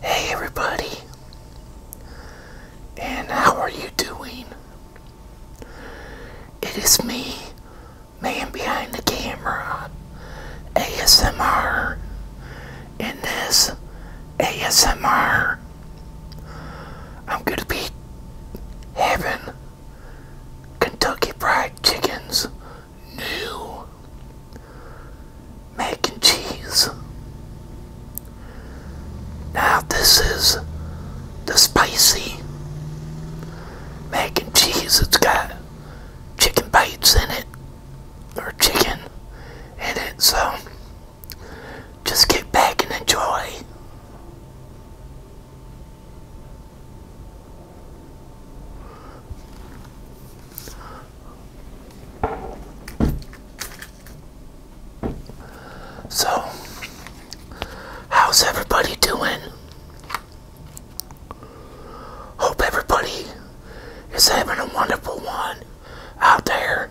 Hey everybody, and how are you doing? It is me, man behind the camera, ASMR, and this ASMR. I'm going to be having Kentucky Fried Chickens new mac and cheese. Now, this is the spicy mac and cheese. It's got chicken bites in it, or chicken in it, so just get back and enjoy. So, how's everybody doing? Hope everybody is having a wonderful one out there.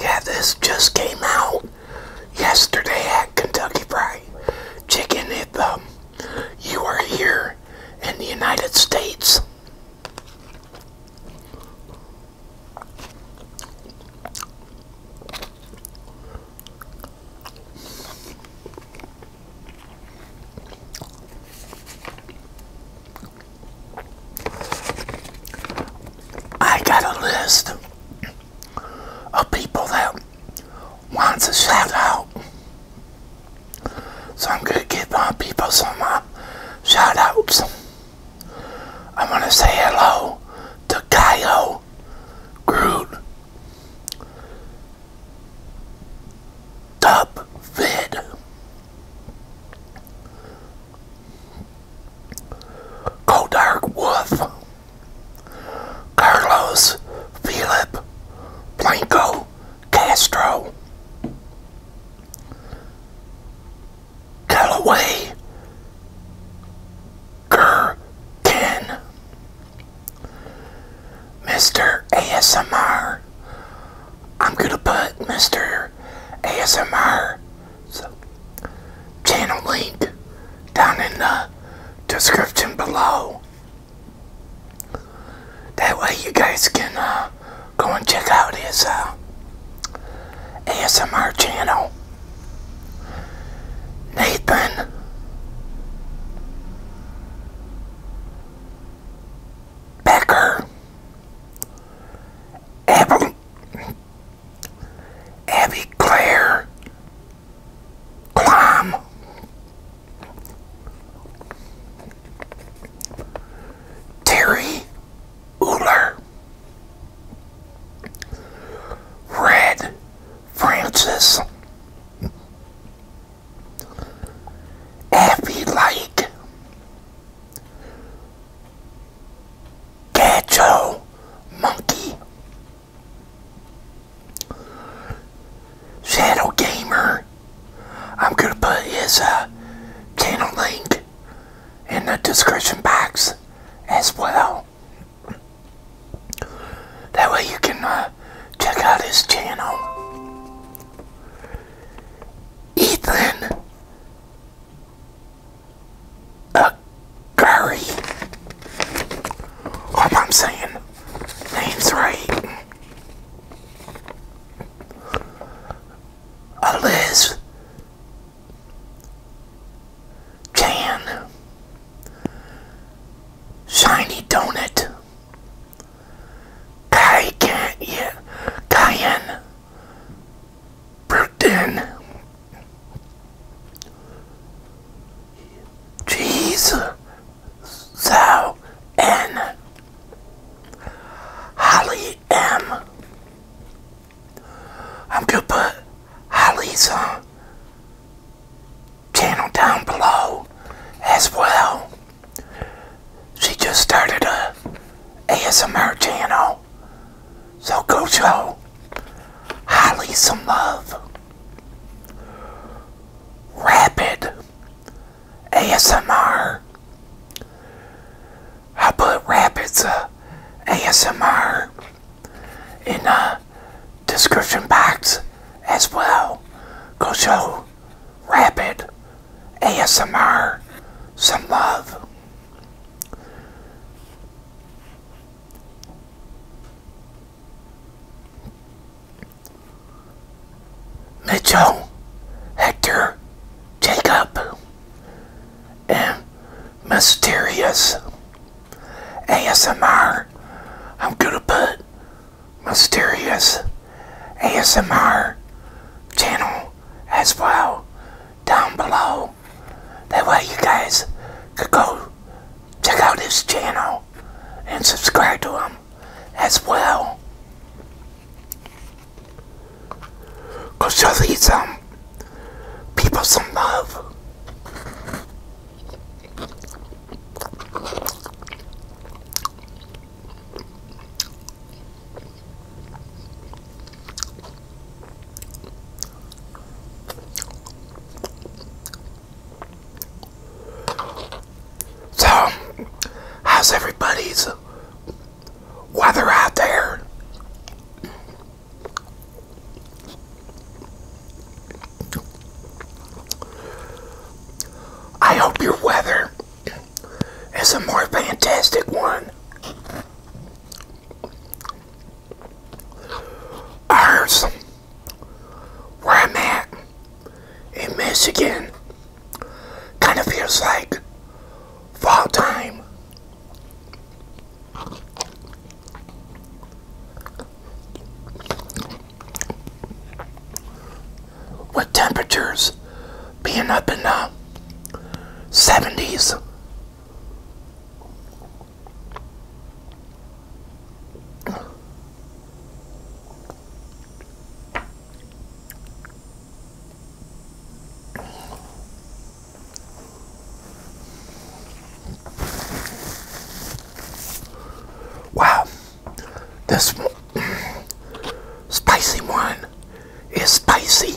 Yeah, this just came out yesterday at Kentucky Fried Chicken. If um, you are here in the United States. I got a list of people that wants a shout out. So I'm going to give my people some shout outs. i want to say hello to Kyle. General Top Fed. Codark Wolf. Carlos Philip Blanco Castro. Callaway Gur Ken Mr. ASMR. I'm going to put Mr. ASMR channel link down in the description below. That way you guys can uh, go and check out his uh, ASMR channel. Nathan Becker, Abby, Abby Claire, Clom, Terry Uller, Red Francis. Affy like, Gacho Monkey. Shadow Gamer. I'm going to put his uh, channel link in the description box as well. That way you can uh, check out his channel. Ethan Gary. Hope I'm saying names right. Liz Jan Shiny Donut, Kai Cayenne, Burton, Cheese, Zhao Holly M. I'm gonna put Holly's on uh, channel down below as well. She just started a ASMR channel. So go show Holly some love. Rapid ASMR. i put Rapid's uh, ASMR in uh, description box as well. Go show Rapid ASMR some love. Mitchell, Hector, Jacob, and Mysterious ASMR. I'm going to put mysterious ASMR channel as well down below. That way you guys could go check out his channel and subscribe to him as well. Go show these um, people some love. So, how's everybody's weather out there? I hope your weather is a more fantastic one. Ours, where I'm at in Michigan, kind of feels like fall time with temperatures being up in uh, the 70s. Wow. This spicy one is spicy.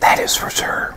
That is for sure.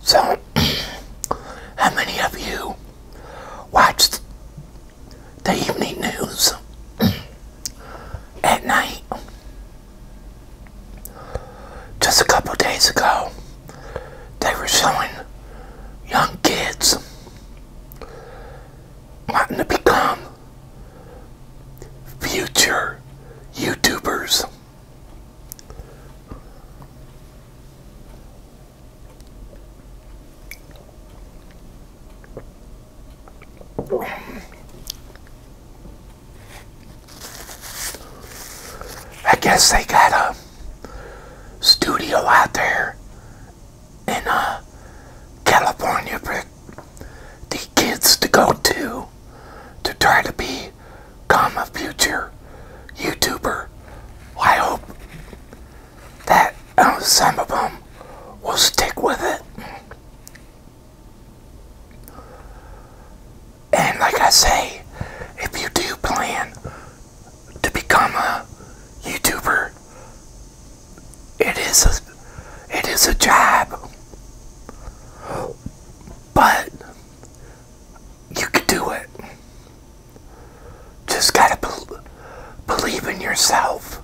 So, how many of you watched the evening news at night? Just a couple days ago, they were showing young kids wanting to become future YouTubers. I guess they got a studio out there in uh, California for the kids to go to to try to be become a future YouTuber. I hope that uh, some of them will stick with it. And like I say, if you do plan to become a YouTuber, it is a, it is a job. But you could do it. Just gotta believe in yourself.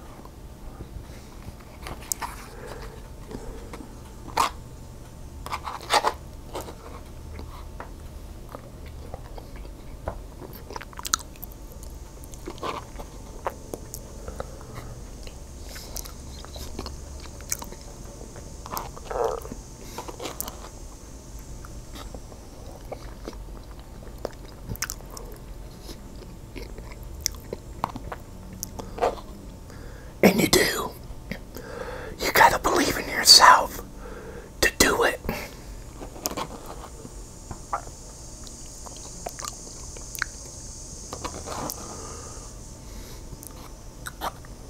And you do. You gotta believe in yourself to do it.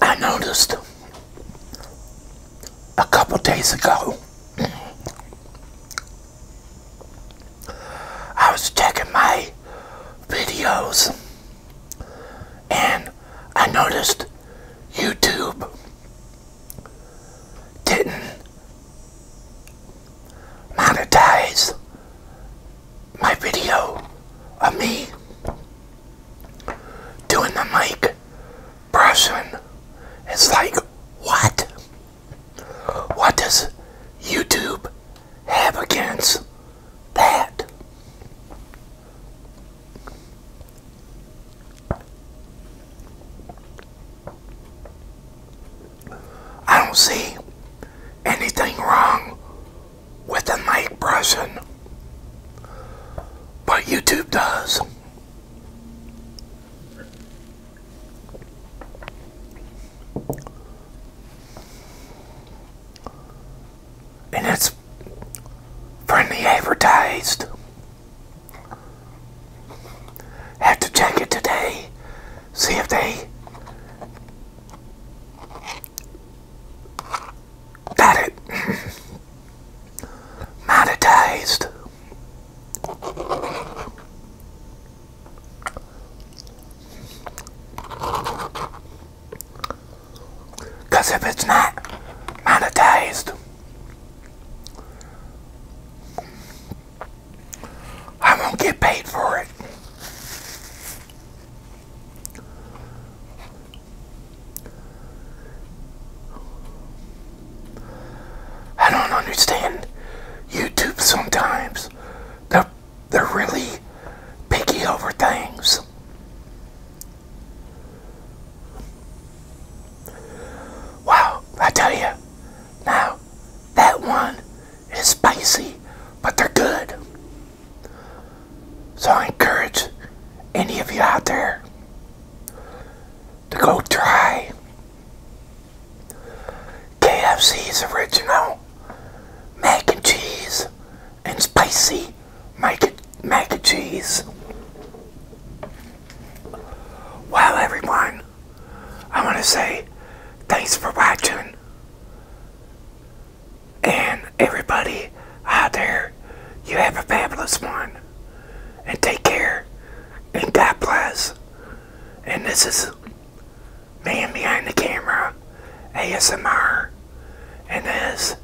I noticed a couple days ago. I was checking my videos and I noticed YouTube didn't monetize my video of me doing the mic brushing. It's like, what? What does YouTube have against that? I don't see anything wrong with the mic brushing, but YouTube does. And it's friendly advertised. Have to check it today. See if they got it monetized. Because if it's not monetized, I won't get paid for it. I don't understand YouTube sometimes. They're, they're really picky over things. Wow, I tell you, now, that one is spicy, but they're good. So I encourage any of you out there to go try KFC's original mac and cheese and spicy mac mac and cheese. Well, everyone, I want to say thanks for watching. And everybody out there, you have a fabulous one. And take care. And God bless. And this is Man Behind the Camera ASMR. And this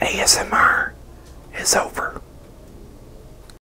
ASMR is over.